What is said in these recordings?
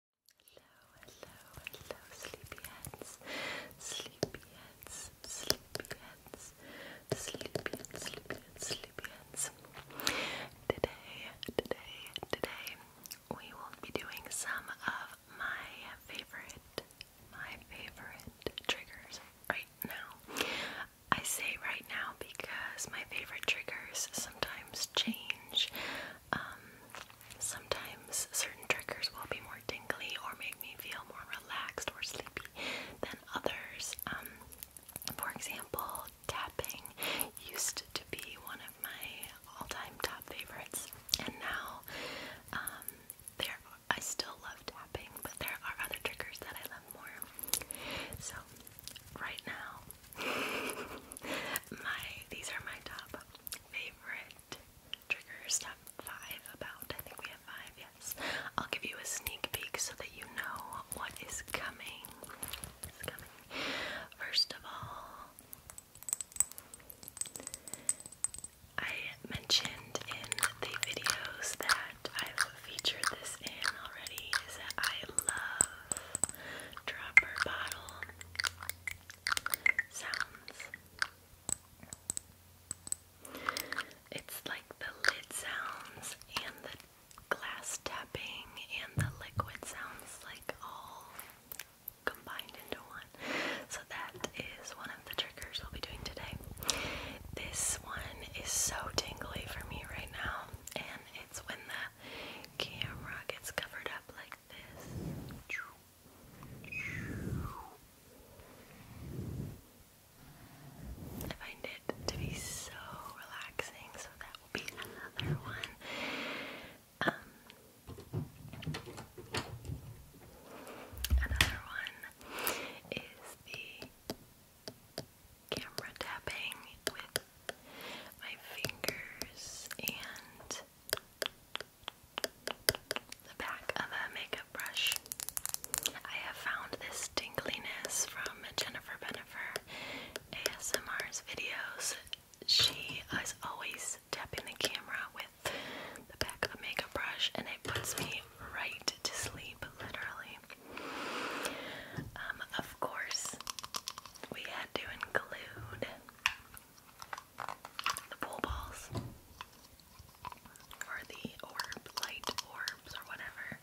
hello, hello, sleepyheads, sleepyheads, sleepyheads, sleepyheads, sleepy, sleepyheads. Today, today, today, we will be doing some of my favorite, my favorite triggers right now. I say right now because my favorite triggers sometimes change. Um, Sometimes certain triggers will be more tingly or make me feel more relaxed or sleepy than others. Um, for example, tapping used to be one of my all-time top favorites, and now um, there I still love tapping, but there are other triggers that I love more. So right now my these are my top favorite triggers. five about. I think we have five, yes. I'll give you a sneak peek so that you know what is coming. What is coming. First of all, I mentioned in the videos that I've featured this in already is that I love dropper bottle it's like the lid sounds and the glass tapping and the liquid sounds like all combined into one. So that is one of the triggers we'll be doing today. This one is so tingly for me right now and it's when the camera gets covered up like this. I find it to be so relaxing, so that will be another one. Um, another one is the camera tapping with my fingers and the back of a makeup brush. I have found this tingliness from Jennifer Benifer ASMR's videos. She is always tapping the camera with the back of a makeup brush, and it puts me right to sleep, literally. Um, of course, we had to include the pool balls, or the orb, light orbs, or whatever.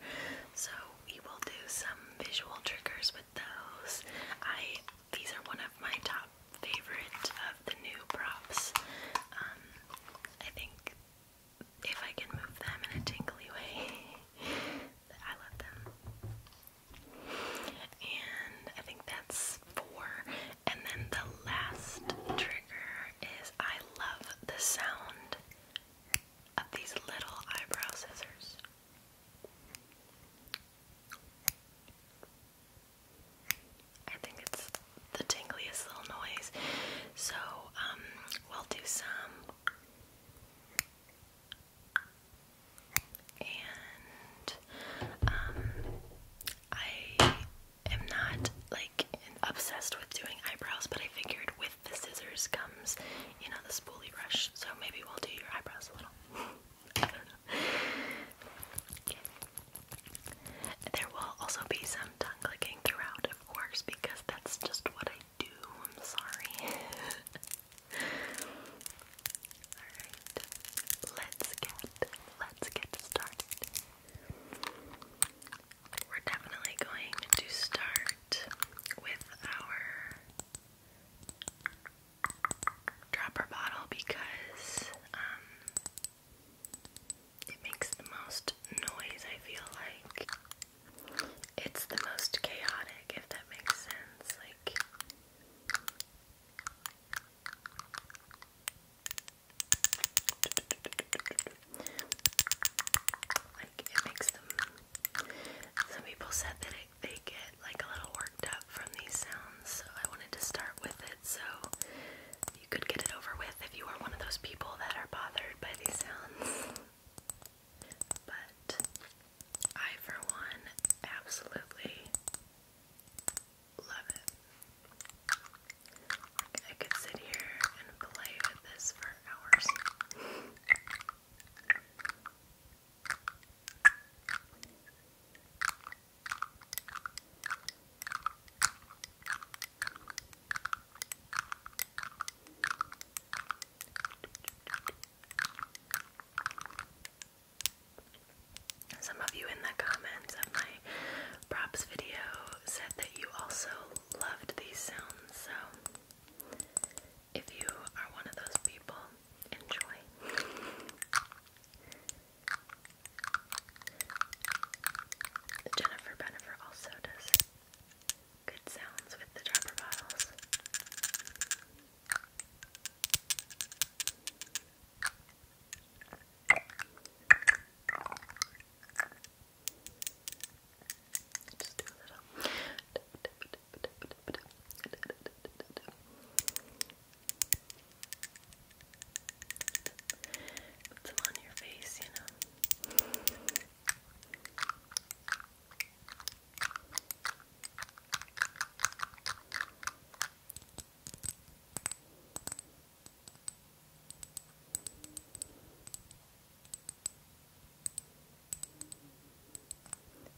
So we will do some visual triggers with those. I these are one of my top favorite of the new props. Um, I think if I can move them in a tingly way, I love them. And I think that's four. And then the last trigger is I love the sound of these little eyebrow scissors. I think it's the tingliest little noise. So, um, we'll do some and um, I am not like obsessed with doing eyebrows, but I figured with the scissors comes, you know, the spoolie brush. So maybe we'll do your eyebrows a little. There will also be some tongue clicking throughout, of course, because that's just what I do. I'm sorry. Alright, let's get let's get started. We're definitely going to start with our dropper bottle because um, it makes the most noise, I feel like. It's the most chaotic, if that makes sense. Like, like it makes them. Some people said that it, they get like a little worked up from these sounds, so I wanted to start with it so you could get it over with if you are one of those people that are bothered by these sounds. But I, for one, absolutely love it. I could sit here and play with this for hours. Some of you in the comments of my props video said that you also loved these sounds, so if you are one of those people, enjoy. Jennifer Bennifer also does good sounds with the dropper bottles. Just do a little. Put some on your face, you know.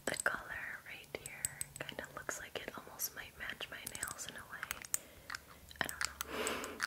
The color right here kind of looks like it almost might match my nails in a way. I don't know.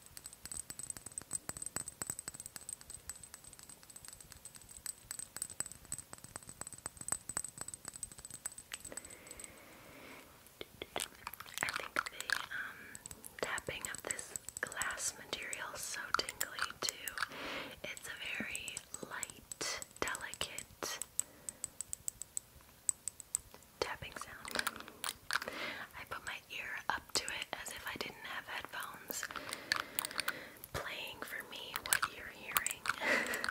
I think the um, tapping of this glass material is so tingly too. It's a very light, delicate tapping sound. I put my ear up to it as if I didn't have headphones playing for me what you're hearing.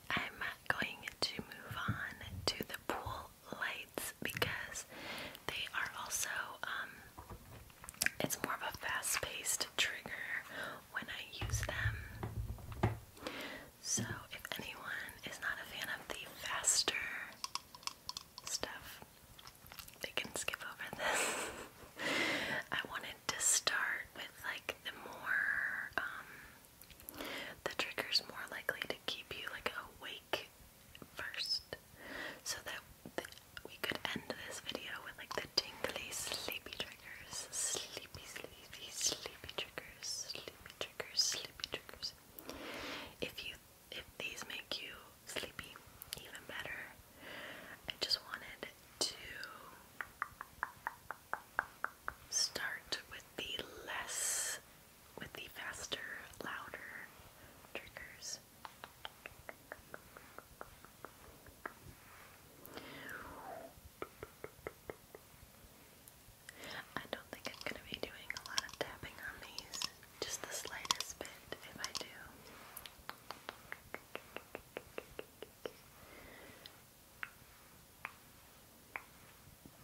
I'm going to move on to the pool lights because they are also, um, it's more of a fast paced trigger when I use them. So if anyone is not a fan of the faster stuff, they can skip over this. I wanted to start with like the more um the trigger's more likely to keep you like awake first, so that we could end this video with like the tingly sleepy triggers, sleepy, sleepy, sleepy triggers, sleepy triggers, sleepy triggers. If you if these make you sleepy, even better. I just wanted to start with the less, with the faster, louder triggers. I don't think I'm going to be doing a lot of tapping on these, just the slightest bit if I do.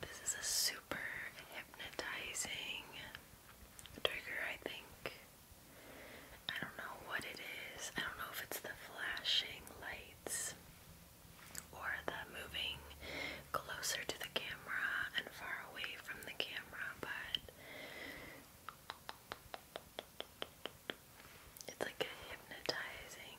This is a super hypnotizing trigger, I think. I don't know what it is. I don't know if it's the flashing lights or the moving closer to the camera and far away from the camera, but it's like a hypnotizing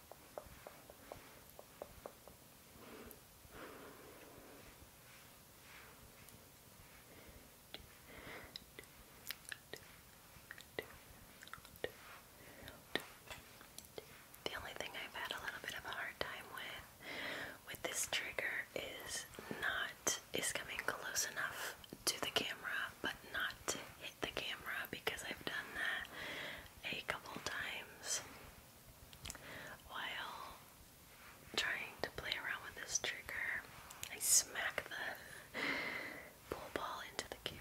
The only thing I've had a little bit of a hard time with with this trigger is not is coming close enough to the camera but not hit the camera because I've done that a couple times while trying to play around with this trigger. I smack the pool ball into the camera.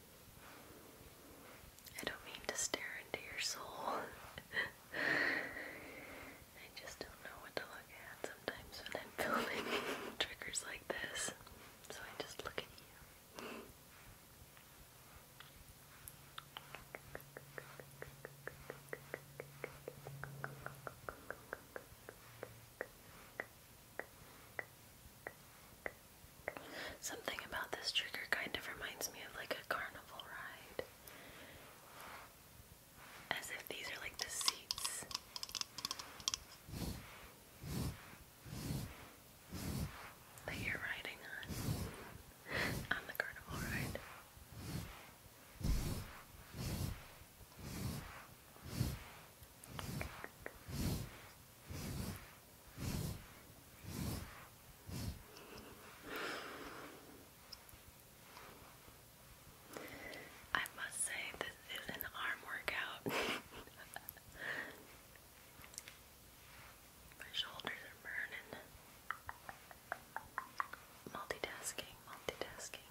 I don't mean to stare into your soul. I just don't know what to look at sometimes when I'm filming triggers like this. So I just look at you. Something about this trigger kind of reminds me of like a carnival ride. As if these are like the seats. That you're riding on on the carnival ride. I must say, this is an arm workout. My shoulders are burning. Multitasking, multitasking.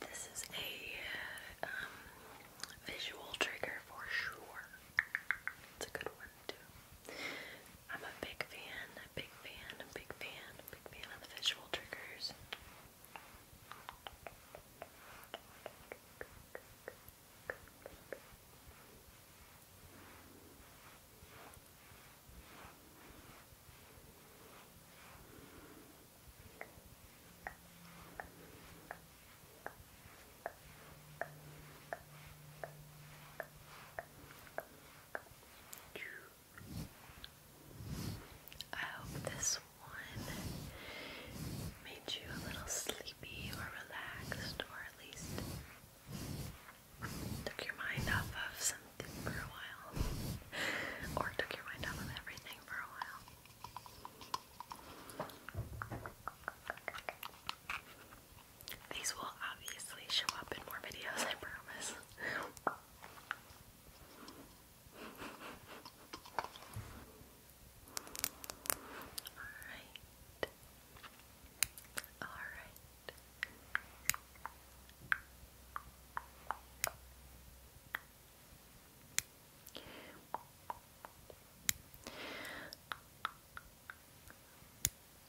This is a uh, um, visual trigger for sure. It's a good one too. I'm a big fan, a big fan, a big fan, a big fan of the visual triggers. I hope this one made you a little sleepy or relaxed, or at least took your mind off of something for a while, or took your mind off of everything for a while. These will obviously show up in more videos, I promise. Alright. Alright.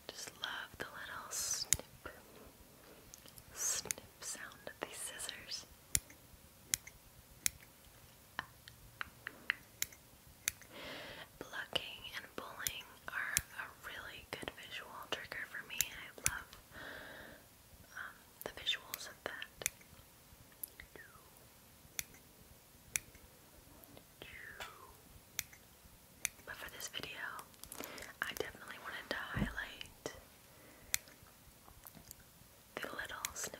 Just love the little snip, snip sound of these scissors. Plucking and pulling are a really good visual trigger for me. I love um, the visuals of that. But for this video, I definitely wanted to highlight the little snip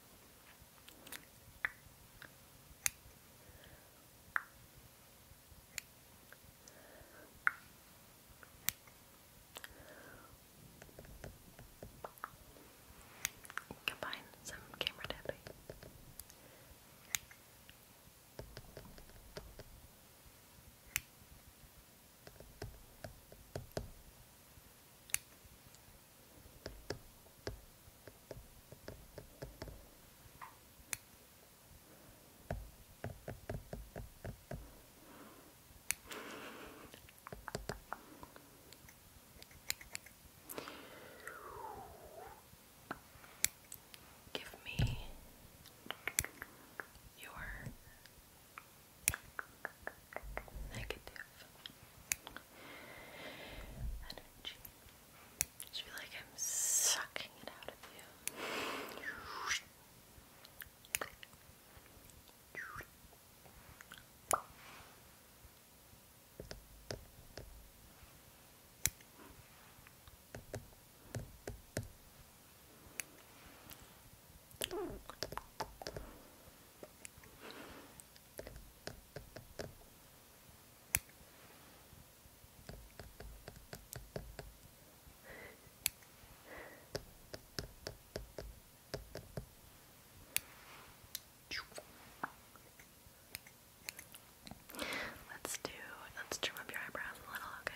Combine some camera tapping. Give me your negative energy. Just feel like I'm sucking it out of you. Let's do, let's trim up your eyebrows a little, okay?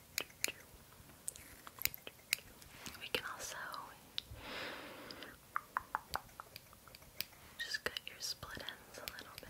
We can also just cut your split ends a little bit.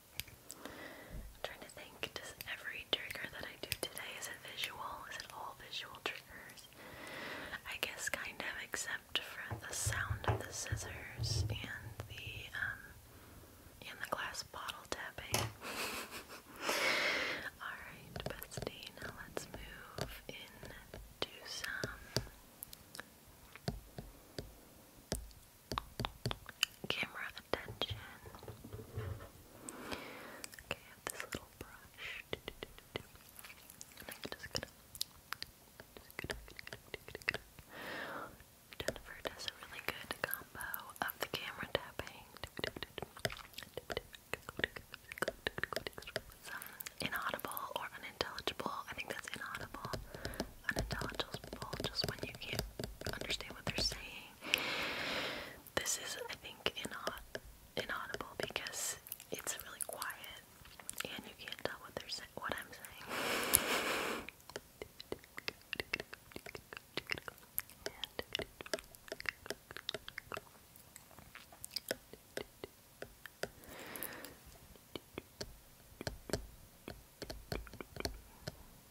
I'm trying to think, does every trigger that I do today, is it visual? Is it all visual triggers? I guess kind of, except for the sound of the scissors and the, um, and the glass bottle tapping. Alright, bestie, now let's move into some camera attention. Okay, I have this little brush. Jennifer does a really good combo of the camera tapping. inaudible or unintelligible. I think that's inaudible. Unintelligible just when you can't understand what they're saying. This is, I think, inaudible because it's really quiet and you can't tell what they're saying. What I'm saying.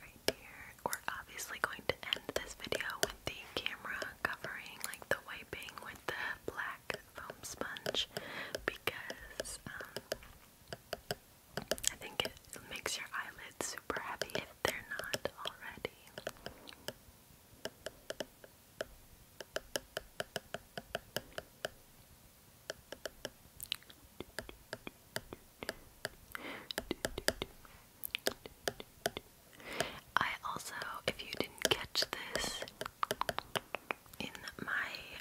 right here, We're obviously going to end this video with the camera covering, like the wiping with the black foam sponge, because um, I think it makes your eyelids super heavy if they're not already. I also, if you didn't catch this in my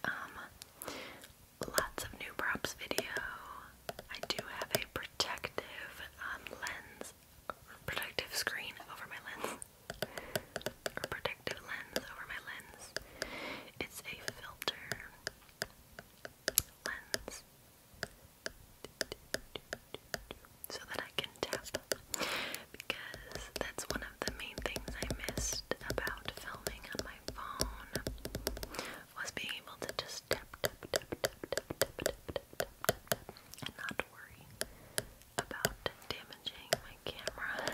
um, lots of new props video, I do have a protective um, lens protective screen over my lens protective lens over my lens. It's a filter lens so that I can tap because that's one of the main things I missed about filming on my phone was being able to just tap tap tap tap tap tap tap tap tap tap, tap and not worry about damaging my camera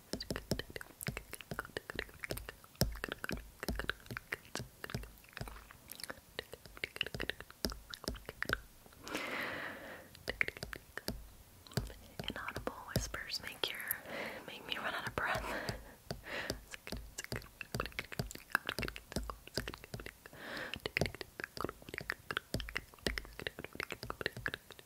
Inaudible whispers make your make me run out of breath.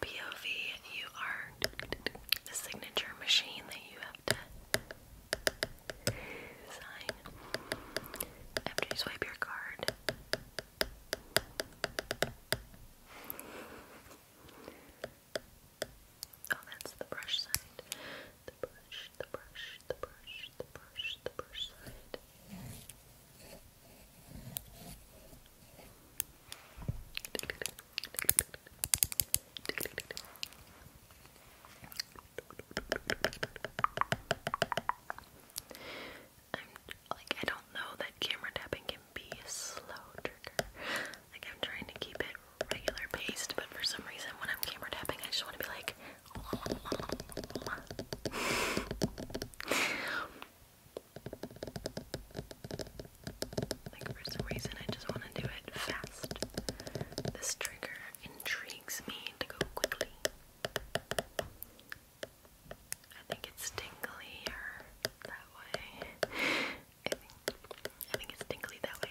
POV, you are the signature machine that you have to sign after you swipe your card. Oh, that's the brush side the brush, the brush, the brush, the brush, the brush side. I'm like I don't know that camera tapping can be a slow trigger. Like I'm trying to keep it regular paste, but for some reason when I'm camera tapping, I just want to be like. like for some reason, I just want to do it fast. This trigger intrigues me to go quickly. I think it's tinglier that way. I think it's tingly that way.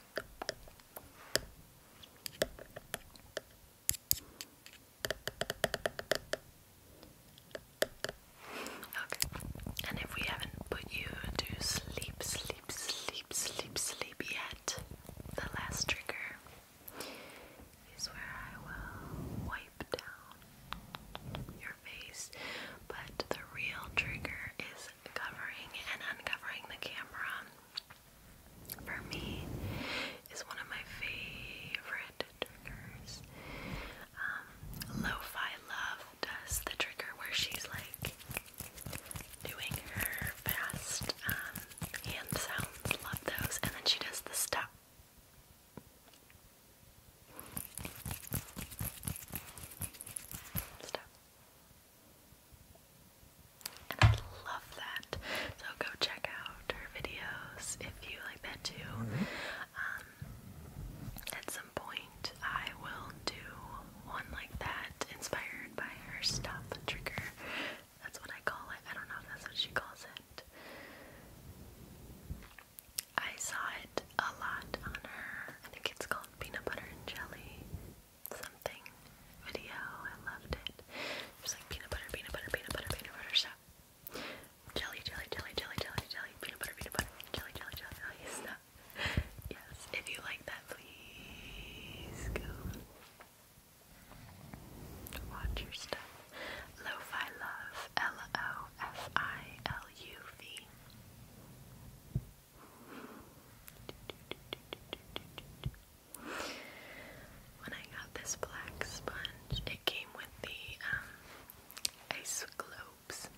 Okay. And if we haven't put you to sleep, sleep, sleep, sleep, sleep yet, the last trigger is where I will wipe down your face. But the real trigger is covering and uncovering the camera for me is one of my favorite triggers. Um, Lo-Fi Love does the trigger where she's like doing her fast um, hand sounds. Love those. And then she does the stop. I love that. So go check out her videos if you like that too. Mm-hmm. Um, at some point, I will do one like that inspired by her stuff trigger. That's what I call it. I don't know if that's what she calls it. I saw it a lot on her. I think it's called peanut butter and jelly something video. I loved it. It was like peanut butter, peanut butter, peanut butter, peanut butter stuff. Jelly, jelly, jelly, jelly, jelly, jelly, peanut butter, peanut butter, jelly, jelly, jelly, jelly stuff. Yes, if you like that, please go watch your stuff. Lo-fi love, L-O-F-I-L-U-V. When I got this black sponge, it came with the um, ice globes.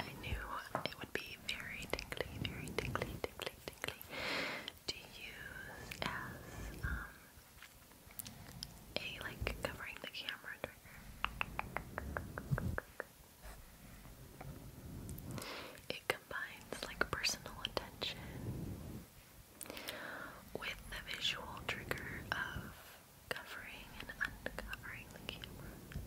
I knew it would be very tingly, very tingly, tingly, tingly to use as um, a like covering the camera trigger. It combines like personal attention with the visual trigger of covering and uncovering the camera.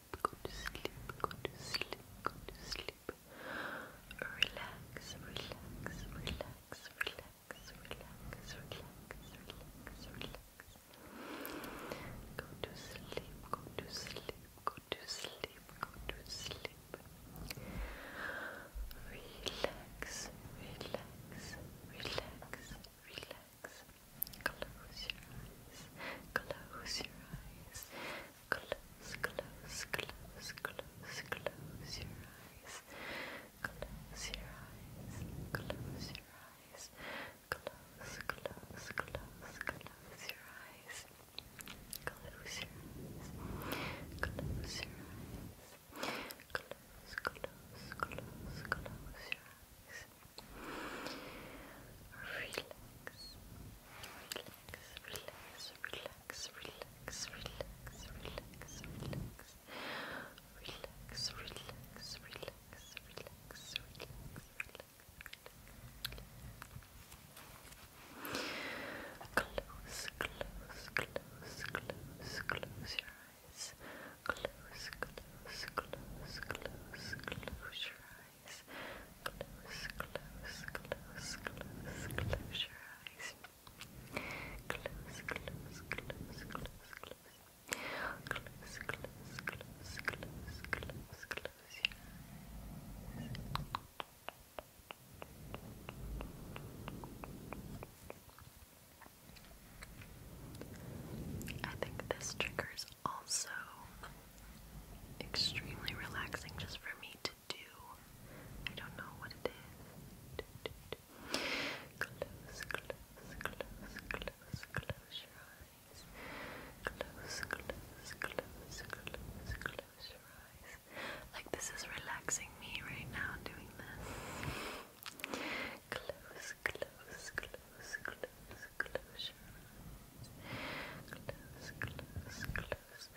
sleep, go to sleep, go to sleep, go to sleep. Relax, relax, relax, relax, relax, relax, relax, relax. Go to sleep, go to sleep, go to sleep, go to sleep. Relax, relax, relax, relax. Close your eyes, close your eyes, Close, close, close, close, close your eyes. Close your eyes. Close your eyes. Close, close, close, close your eyes. Close your eyes. Close your eyes. Close, close, close, close your eyes. Relax. Relax relax, relax, relax, relax, relax, relax. Relax, relax, relax, relax, relax, relax. Close, close, close, close, close your eyes. Close, close, close, close, close your eyes. Close, close, close, close, close your eyes. Close, close, close, close, close. Close, close, close, close, close, close your eyes. I think this triggers also extremely relaxing just for me to do. I don't know what it is. Close, close, close, close, close your eyes. Close, close, close, close, close your eyes. Like this is relaxing me right now doing this. Close, close, close, close, close your eyes. and relax.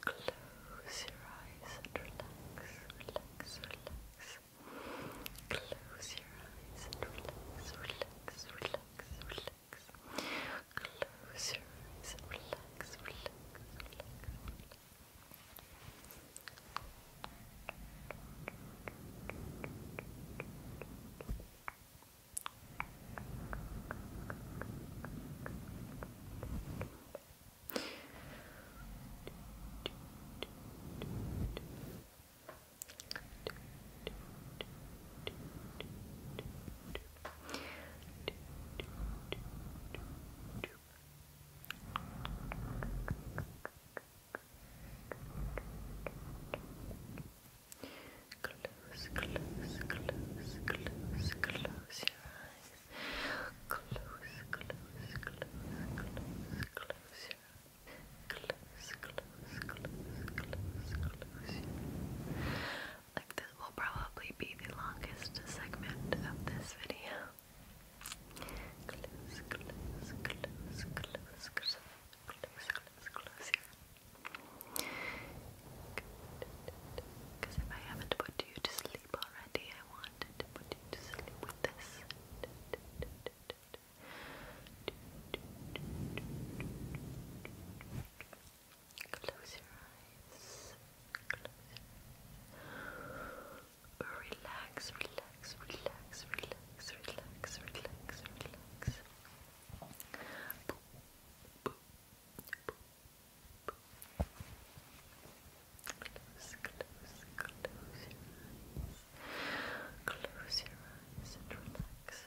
Close your eyes and relax. Relax, relax. Close your eyes and relax, relax, relax relax. Close your eyes relax, relax, relax Close, close, close, close, close your eyes. Close, close, close, close, close your eyes. Close, close, close, close, close your eyes like this will probably be the longest segment of this video. Because if I haven't put you to sleep already, I wanted to sleep with this. Close your eyes. Relax, relax, relax, relax, relax, relax, relax. Close, close, close your eyes. Close your eyes and relax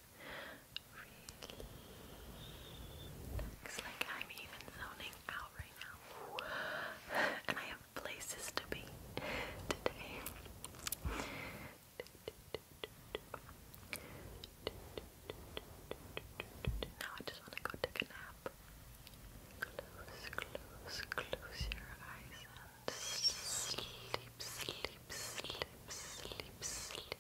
Relax. Like I'm even zoning out right now. And I have places to be today. Now I just want to go take a nap. Close, close, close your eyes and sleep, sleep, sleep, sleep, sleep.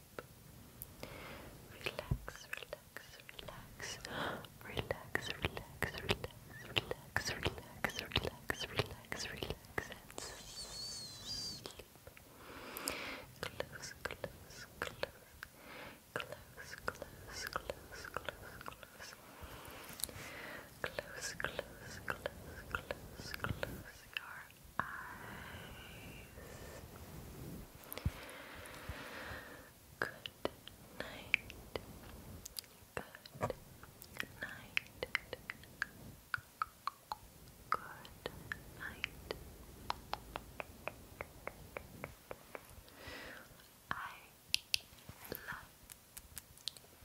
deep. Relax, relax, relax, relax, relax, relax, relax, relax, relax, relax, relax, and sleep. Close, close, close, close, close, close, close, close. Close, close, close, close, close your eyes. Good night. Good night. Good night. I love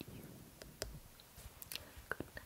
you. Good night